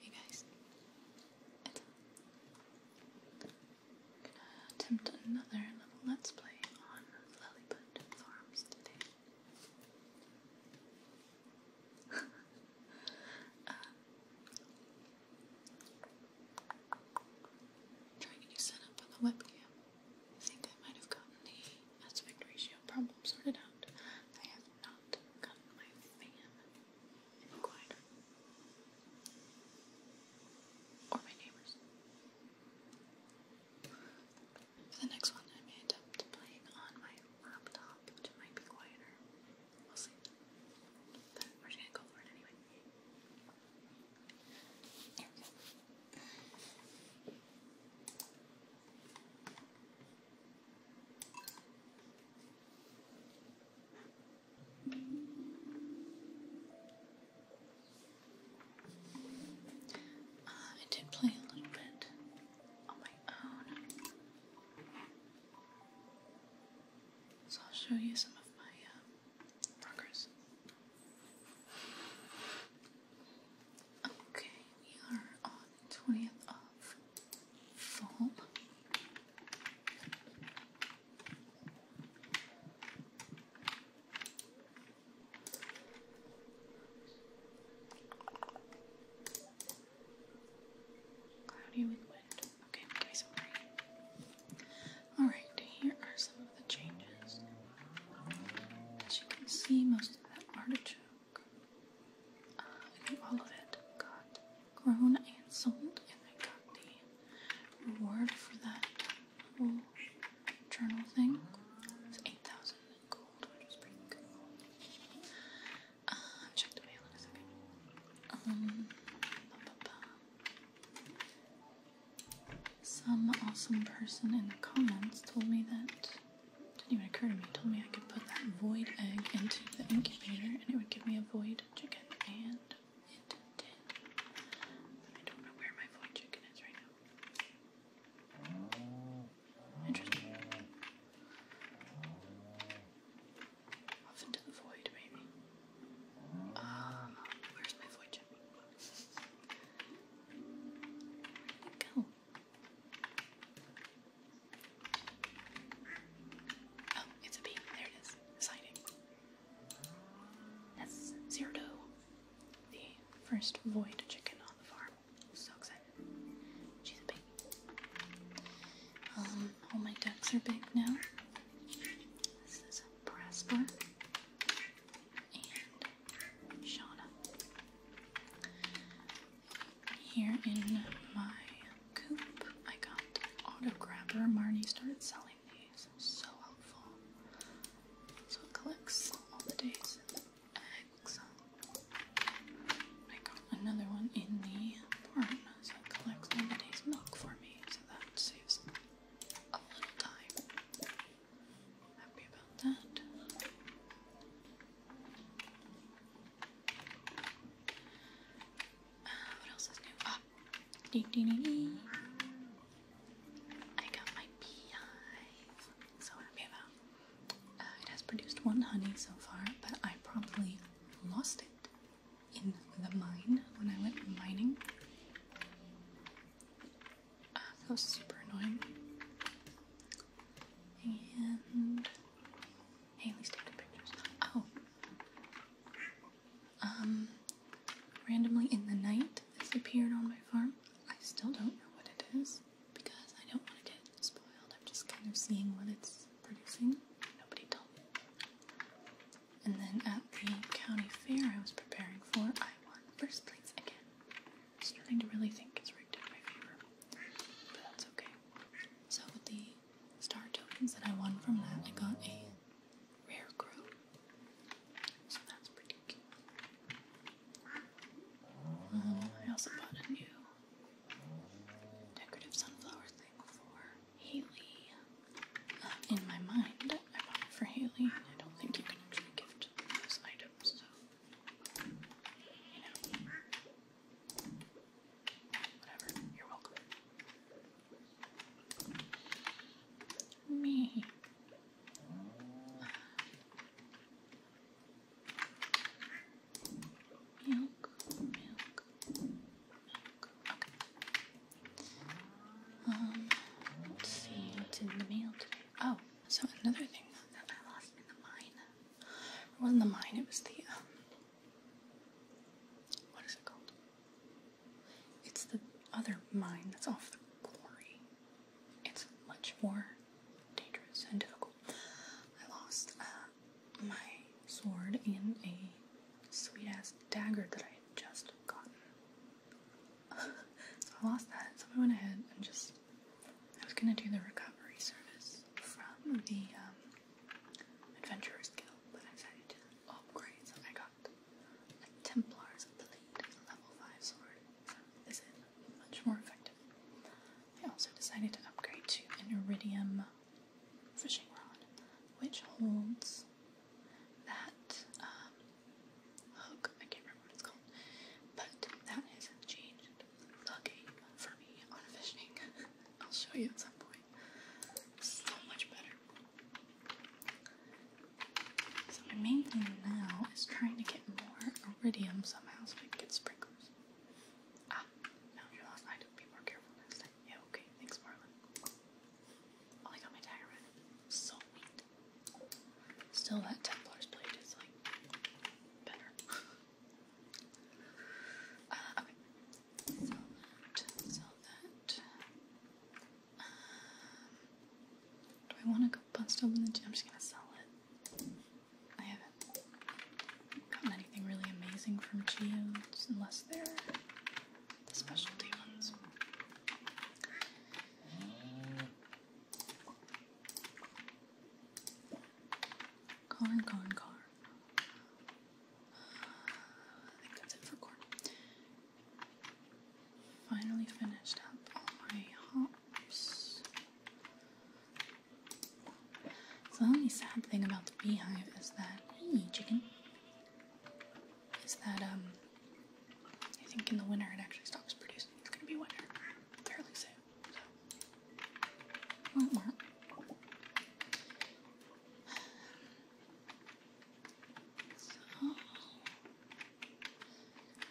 You guys, gonna attempt another little let's play on Lilliput Farms today. Uh, trying a new setup on the webcam. I think I might have gotten the aspect ratio problem sorted out not got my fan in Or my neighbors. the next one, I may attempt playing on my laptop, which might be quieter. We'll see. But we're gonna go for it anyway. Uh, I did play a little bit on my own. So I'll show you some of my uh, progress. Okay, we are on 20th of fall. Cloudy with wind. Okay, nice and Alright, here are some of the changes. you can see, most of that artichoke I think all of it got grown and sold, and I got the reward for that journal thing. It's 8,000 gold, which is pretty cool. Uh, check the mail Um, Some awesome person in the comments told me that didn't even occur to me. He told me I could put that void egg into the incubator and it would give me a void chicken, and it did. I don't know where my void chicken is right now. Interesting. Off into the void, maybe. Um, where's my void chicken? Where did it go? Oh, it's a B. There it is. Exciting. That's Zerdo, the first void chicken on the farm. So excited. She's a baby. Um, all my decks are big now. This is Prosper and Shauna. Here in my coop, I got Auto Grabber. Marnie started selling these. So helpful. So it collects all the days and eggs. I got another one in the barn, so it collects all the days milk for me. So that saves a little time. Happy about that what else is new? Oh. Ding, ding, ding, I got my beehive. So happy about. Uh, it has produced one honey so far, but I probably lost it in the mine when I went mining. Ah, that was super annoying. And Haley's taking pictures. Oh. Um, randomly in the night, this on my farm. I still don't know what it is because I don't want to get spoiled. I'm just kind of seeing what it's producing. Nobody told me. And then at the county fair I was preparing for, I won first place again starting to really think it's rigged in my favor, but that's okay. So with the star tokens that I won from that, I got a rare crow. So that's pretty cute. Um, I also bought a new decorative sunflower thing for Haley. Um, in my mind, I bought it for Haley. I don't think you can actually gift those items, so you know. Whatever, you're welcome. Me. Milk, milk, Okay. Um, let's see what's in the mail today. Oh, so another thing that I lost in the mine it wasn't the mine, it was the, um, what is it called? It's the other mine that's off the quarry. It's much more dangerous and difficult. I lost uh, my sword and a sweet ass dagger that I had just gotten. so I lost that, so I went ahead and just I was gonna do the recovery service from the um, Adventurer's Guild, but I decided to upgrade, so I got a Templar's Plate, a level 5 sword. So this much more effective. I also decided to upgrade to an Iridium fishing rod, which holds that um, hook, I can't remember what it's called. But that has not changed Lucky for me on fishing. I'll show you at some point. So much better. So my main thing now is trying to get more iridium somehow so I can get sprinklers. Ah, now you lost. I need be more careful next time. Yeah, okay. Thanks, Marlon. Oh, I got my dagger So neat. Still, that Templar's blade is like better. Um, do I want to go bust open the gym? I'm just gonna sell it. I haven't gotten anything really amazing from Geodes unless they're specialty ones. Corn, corn, corn. I think that's it for corn. Finally finished up all my hops. So the only sad thing about the beehive is that hey chicken is that um I think in the winter it actually stops producing. It's gonna be winter fairly soon.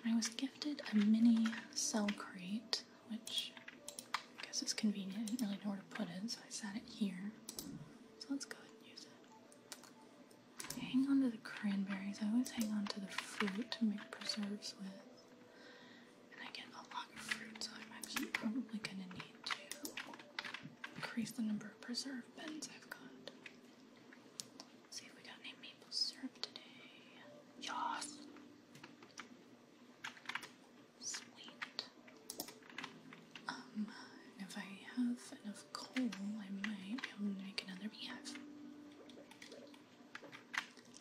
I was gifted a mini cell crate, which I guess is convenient. I do not really know where to put it, so I sat it here. So let's go ahead and use it. hang on to the cranberries. I always hang on to the fruit to make preserves with and I get a lot of fruit, so I'm actually probably gonna need to increase the number of preserve bins I've got. see if we got any maple syrup today. Yes! Sweet. Um, if I have enough coal, I might be able to make another beehive.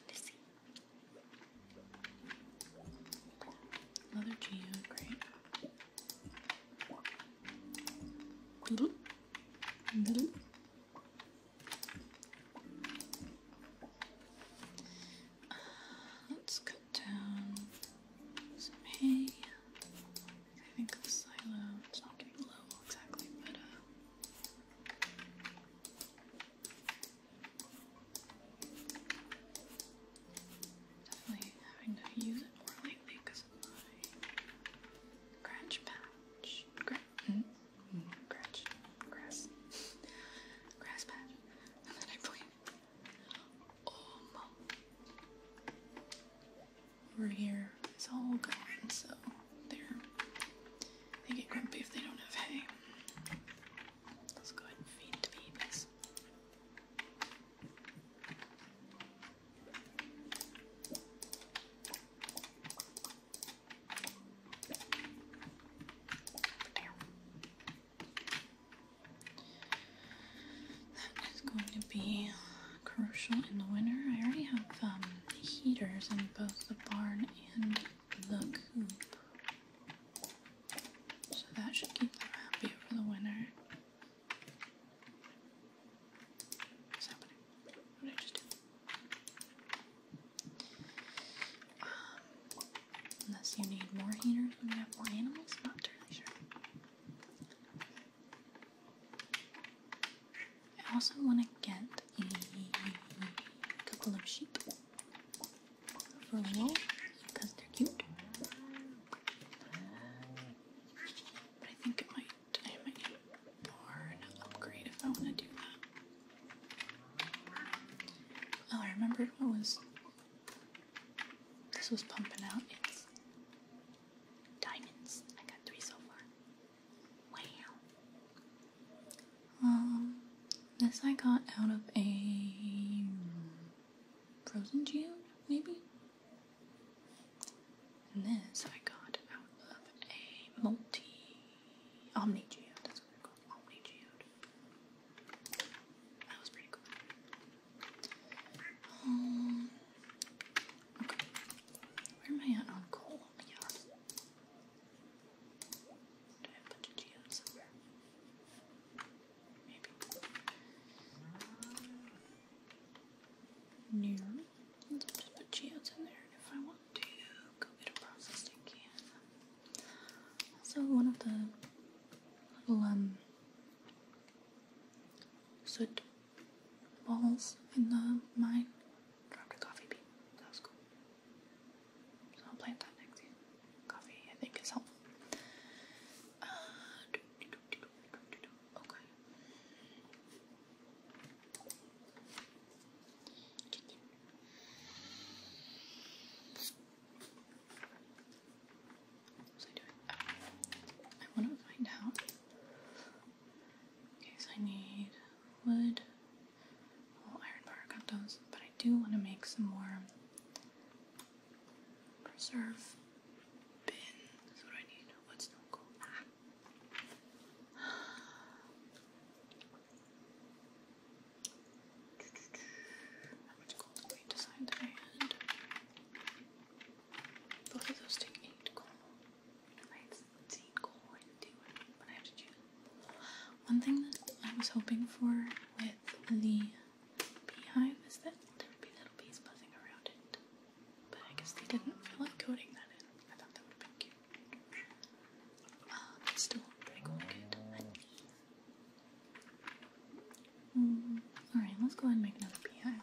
Let's see. Another Geo, great. let's cut down some hay. I think the silo, it's not getting low exactly, but uh, Definitely having to use it more lately because of my crunch patch. Gra hmm? Grass. Grass patch. And then I played Oma. Over here, it's all gone, so there. They get grumpy if they don't have hay. Let's go ahead and feed the babies. That is going to be crucial in the winter. I already have um, heaters in both the barn and Look, So that should keep them happy for the winter. Is that what I, I just did? Um, unless you need more heaters when you have more animals, I'm not totally sure. I also want to get a couple of sheep for wool because they're cute. I think it might, I barn upgrade if I want to do that. Oh, I remember what was, this was pumping out. diamonds. I got three so far. Wow. Um, this I got out of a frozen geode, maybe? And this I got out of a multi omni Geo. That's what they're called, omni geode. That was pretty cool. Um, okay. Where am I at on coal? Did I put the Maybe. Near. Let's put geodes in there if I want to go get a processed can. Also one of the little um soot balls in the mine dropped a coffee bean. That was cool. I'll plant that next to coffee. I think is helpful. Uh, okay. What was I doing? I want to find out. Okay, so I need wood. iron bar got those, but I do want to make some more preserve bins. What do What's not cool? Ah. How much gold Both of those take eight gold. One thing that I was hoping for with the beehive is that there would be little bees buzzing around it, but I guess they didn't feel like coding that in. I thought that would have been cute. Uh, still pretty cool kid. Alright, let's go ahead and make another beehive.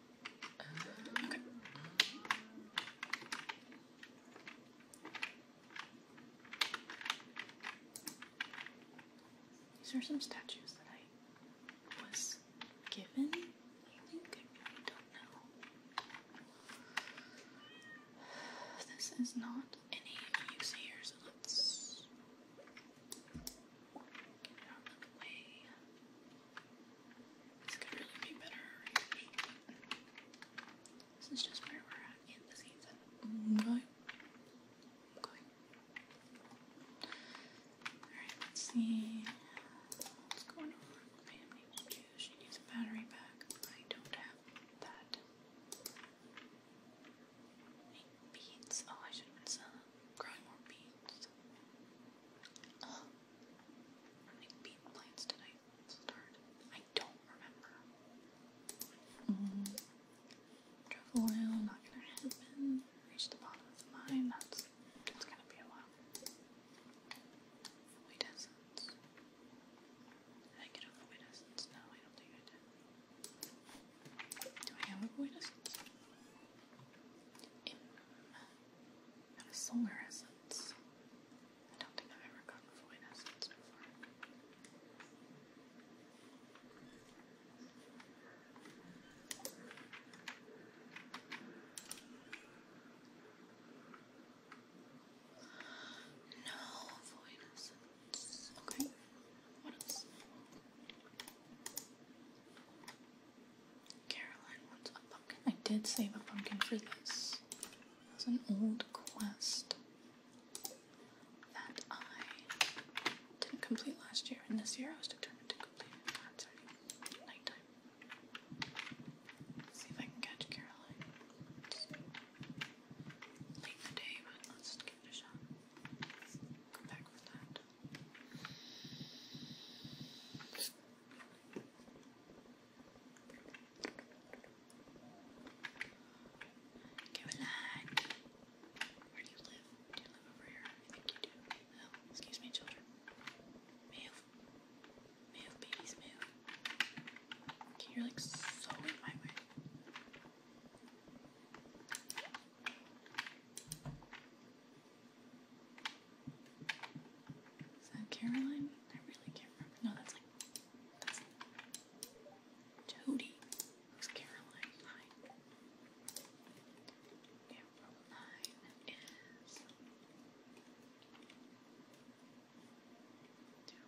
These are some statues that I was given. I think I don't know. This is not any use here, so let's get it out this could really be better This is just where we're at in the season. Alright, let's see what's going on. Pammy, she needs a battery pack. I don't have that. Make Oh, I should have been selling, more beans. How bean plates did I start? I don't remember. Mm. not gonna happen. Reach the bottom of the mine, that's it's gonna be a while. Void I get a void essence? No, I don't think I did. Do I have a void and a solar essence. I don't think I've ever gotten void essence before. No void essence. Okay. What Caroline wants a pumpkin. I did save a pumpkin for this. It was an old quest that I didn't complete last year, and this year I was determined to complete it. Oh, nighttime. see if I can catch Caroline. late in the day, but let's give it a shot. Come back with that. Caroline, where do you live? Do you live over here? I think you do. excuse me, children. Move. Move, babies, move. you're like so in my way. Is that Caroline? I really can't remember. No, that's like that's Toadie. Who's Caroline? Nine. April nine is.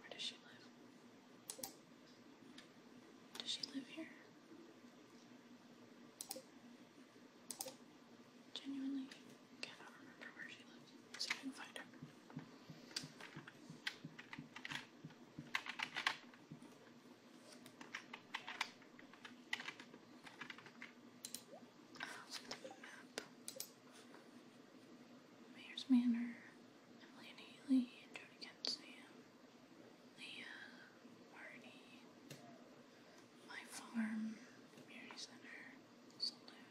where does she live? Does she live here? Genuinely cannot remember where she lives. See if I can find her. Mayor's Manor, Emily and Haley, Jody Kent Sam, Leah, Marty, my farm, community center, saloon,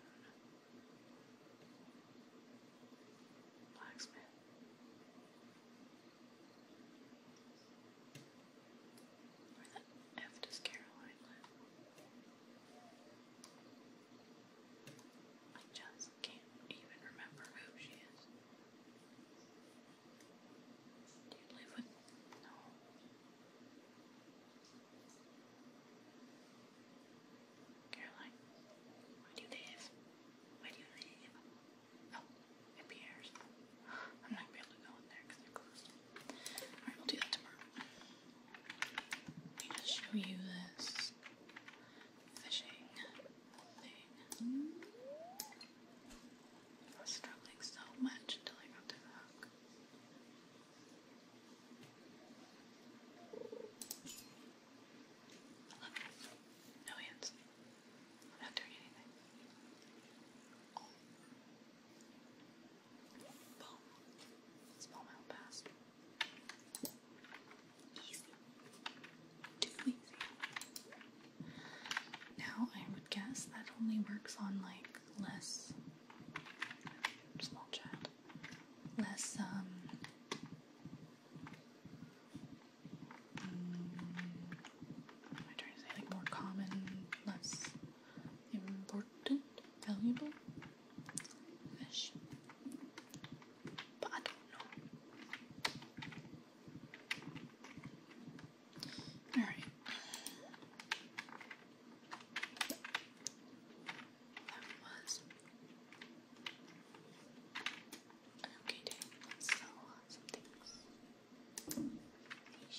blacksmith. Where the F does Caroline live? I just can't even remember who she is. Do you live with no? Caroline, where do you Where do you live? Oh, it appears. I'm not gonna be able to go in there because they're closed. Alright, we'll do that tomorrow. Let me just show you this fishing thing. I was struggling so much until I got to the hook. No I'm not doing anything. Boom. Small mouth Easy. Too easy. Now I would guess that only works on like less small child, less um, mm, am I trying to say like more common, less important, valuable but I don't know. All right. okay day. Let's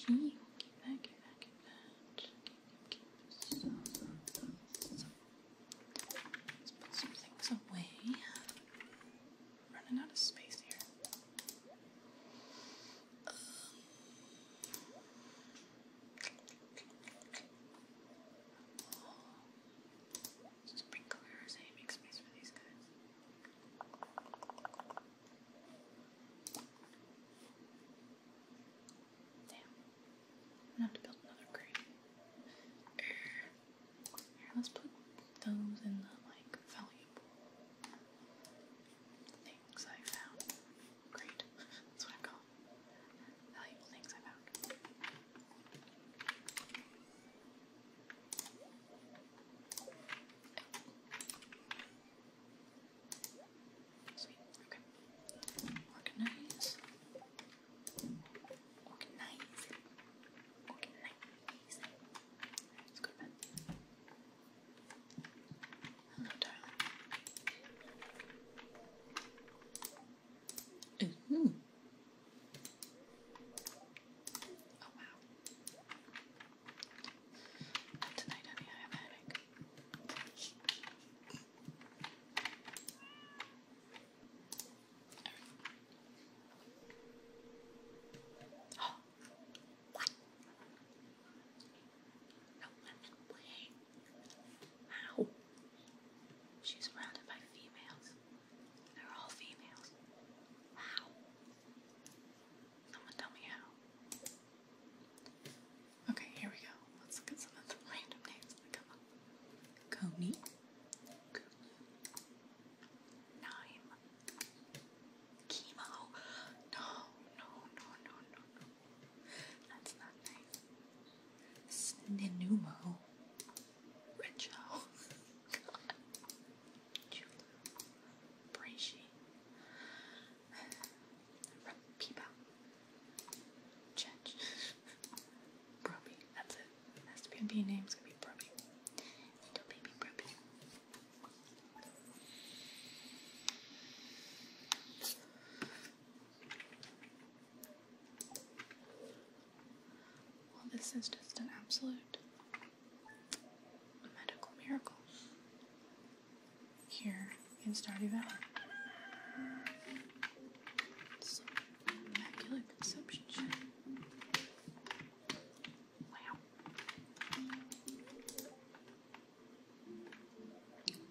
things. keep that, keep that, keep that. Let's put some things away. running out of space here. Um, oh, sprinklers, I make space for these guys. Damn. am gonna have to build another crate. Here, let's put those in the like valuable things I found. Great. That's what I call valuable things I found. Sweet. Okay. Organize. Organize. Organize. Let's go to bed. Hello, darling. -hmm. Oh, wow. Tonight, honey, I have headache. Oh, don't let them She's surrounded by females. They're all females. How? Someone tell me how. Okay, here we go. Let's look some of the random names that come up. Coney. Nine. Chemo. No, no, no, no, no, no. That's not nice. Sninumo. Richo. God. Julep. Brachy. Peepa. Chech. Broby. That's it. That's going name. It's gonna be Broby. Little baby Broby. Well, this is just an absolute medical miracle here in Stardew Valley. Some immaculate conception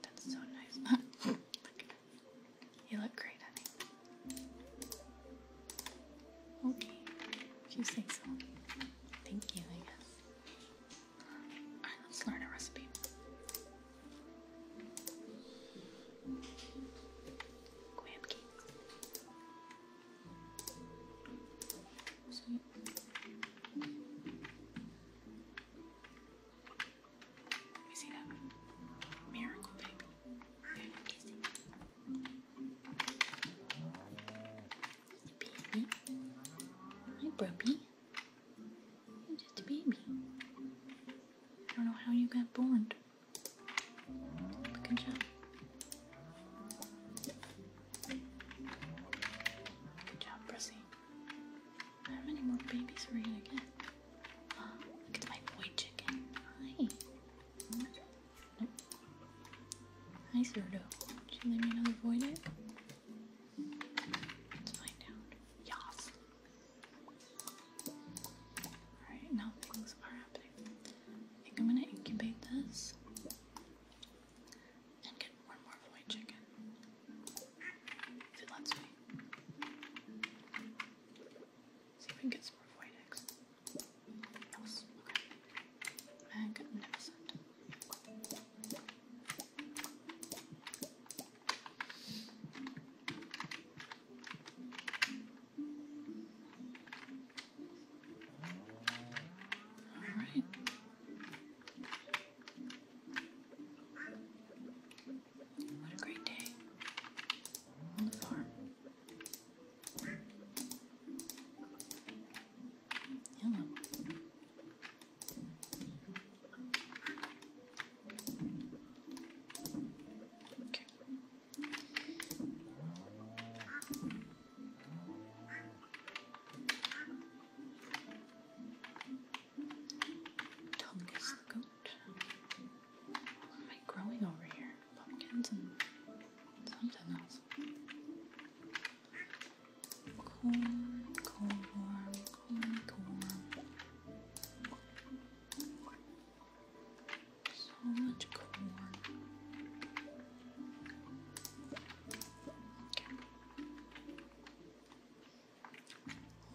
that's so nice. You look great, honey. Okay, if you say so. Thank you, Alright, let's learn a recipe. Graham So let see that. Miracle baby. Hi, Brubby. You're just a baby. I don't know how you got born. Good job. Good job, Prissy. How many more babies are you gonna get? Uh, look at my boy chicken. Hi. Hi, Zerdo. Did you leave another void egg? Let's find out. Yas. Alright, now things are happening. I think I'm gonna incubate this and get more and more white chicken. If it lets me. See if we can get some more white eggs. Yes, okay. Magnificent. All right. What a great day on the farm. Hello. Okay. Tom is the goat. What am I growing over here? Pumpkins and something else. Corn, corn, corn, corn. So much corn.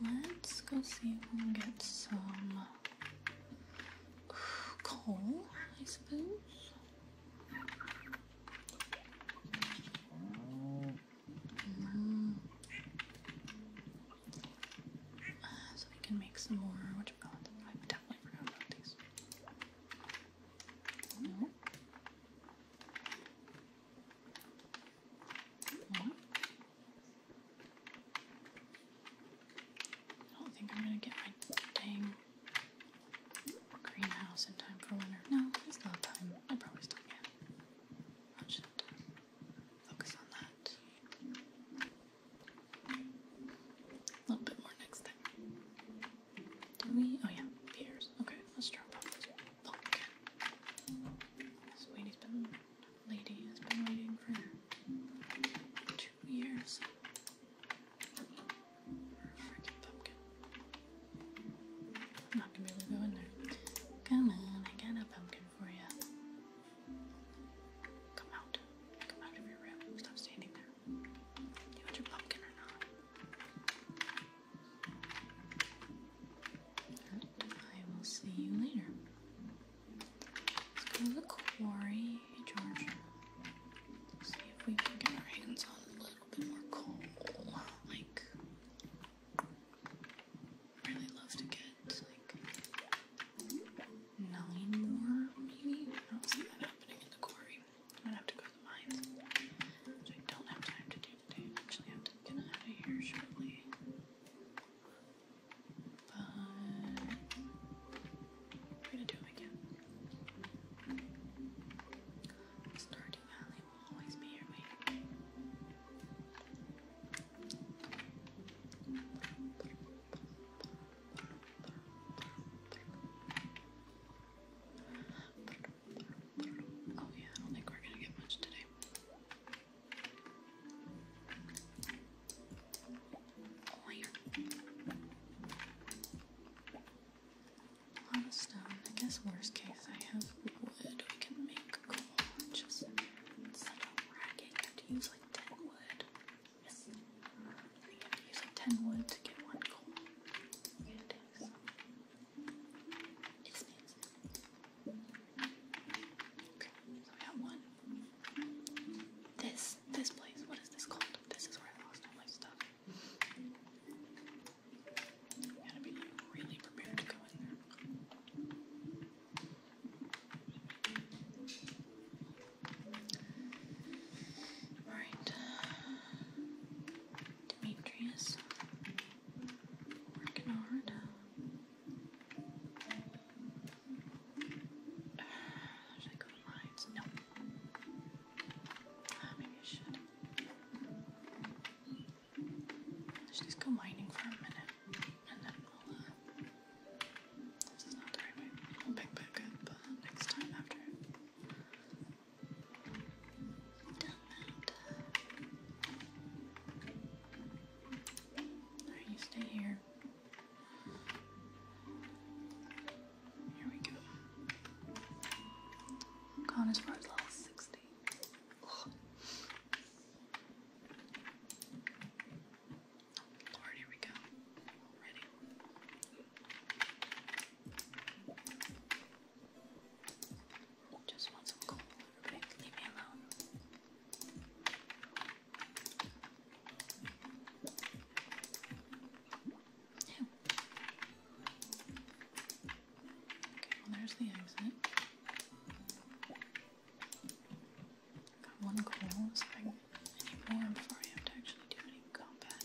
Let's go see if we can get some coal, I suppose. Mm-hmm. Uh, so we can make some more, which I definitely forgot about these. I don't think I'm gonna get my dang greenhouse in time for winter. No, it's not time. I probably still can. I just focus on that. A little bit more next time. Do we? Oh yeah, pears. Okay, let's drop off this pumpkin. lady's been, waiting for two years freaking pumpkin. I'm not gonna be able to go in there. Come on, I got a pumpkin for you. Come out. Come out of your room. Stop standing there. Do you want your pumpkin or not? I will see you later. Let's go to the quarry, George. see if we can get our hands on a little bit more coal. Like, really love to get like nine more, maybe. I don't see that happening in the quarry. I'm gonna have to go to the mines, I don't have time to do today. I actually have to get out of here shortly. But I'm gonna do it again. Stardew Valley will always be your way. Oh, yeah, I don't think we're gonna get much today. Oh, stone. I guess, worst case, I have wood. We can make coal. Just such a racket. have to use like dead wood. I think I'm using 10 wood to get one coal. Okay, so we got one. This, this place, what is this called? This is where I lost all my stuff. gotta be really prepared to go in there. Alright. Demetrius. Working hard. should I go to lives? No. Ah, maybe I should. let just go mining for a minute and then we'll, uh, this is not the right way. We'll pick back up uh, next time after Alright, you stay here. Here we go. Gone as far as level 60. Lord, here we go. Already. Just want some coal, Leave me alone. Okay, there's the exit. Got one coal, so I can. more before I to actually do any combat.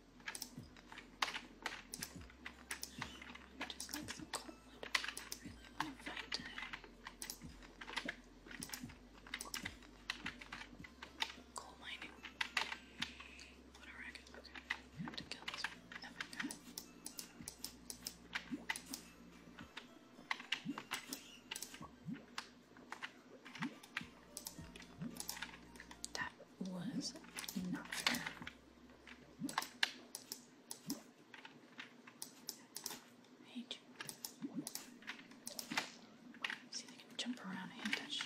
I just like some cold. I really want to find it. Coal mining. What a racket. Okay. I have to kill this every guy. That was not fair. Eight. See, they can jump around and touch.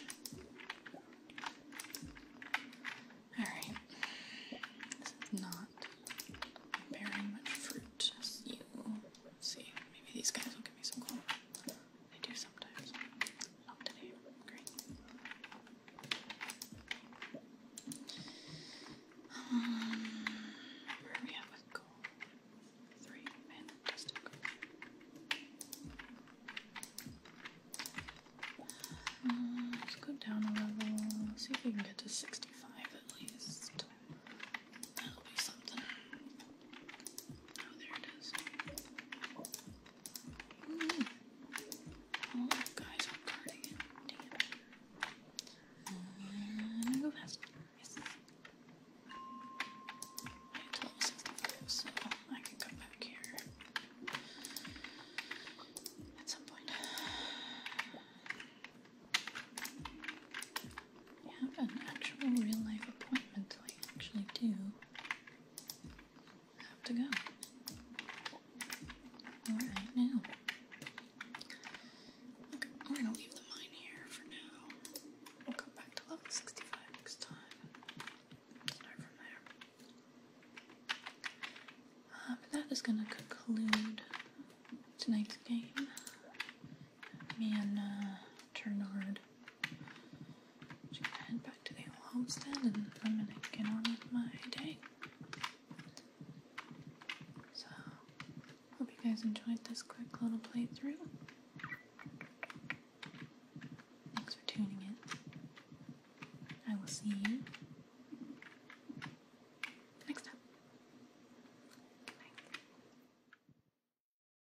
Alright. This is not bearing much fruit. see. Maybe these guys will give me some gold. They do sometimes. Up today. Great. Um, we at with gold? Three. Fantastic. Um, let's go down a level. see if we can get to 65 at least. That'll be something. Oh, there it is. Mm. Oh, guys, I'm guarding it. Damn it. And I go past. Yes. I have to level 65, so I can come back here at some point have an actual real life appointment, so I actually do have to go. Alright, now. Okay, we're gonna leave the mine here for now. We'll come back to level 65 next time. Start from there. Uh, that is gonna conclude tonight's game me and uh, Ternard just gonna head back to the old homestead and I'm gonna get on with my day. So, hope you guys enjoyed this quick little playthrough. Thanks for tuning in. I will see you next time. Good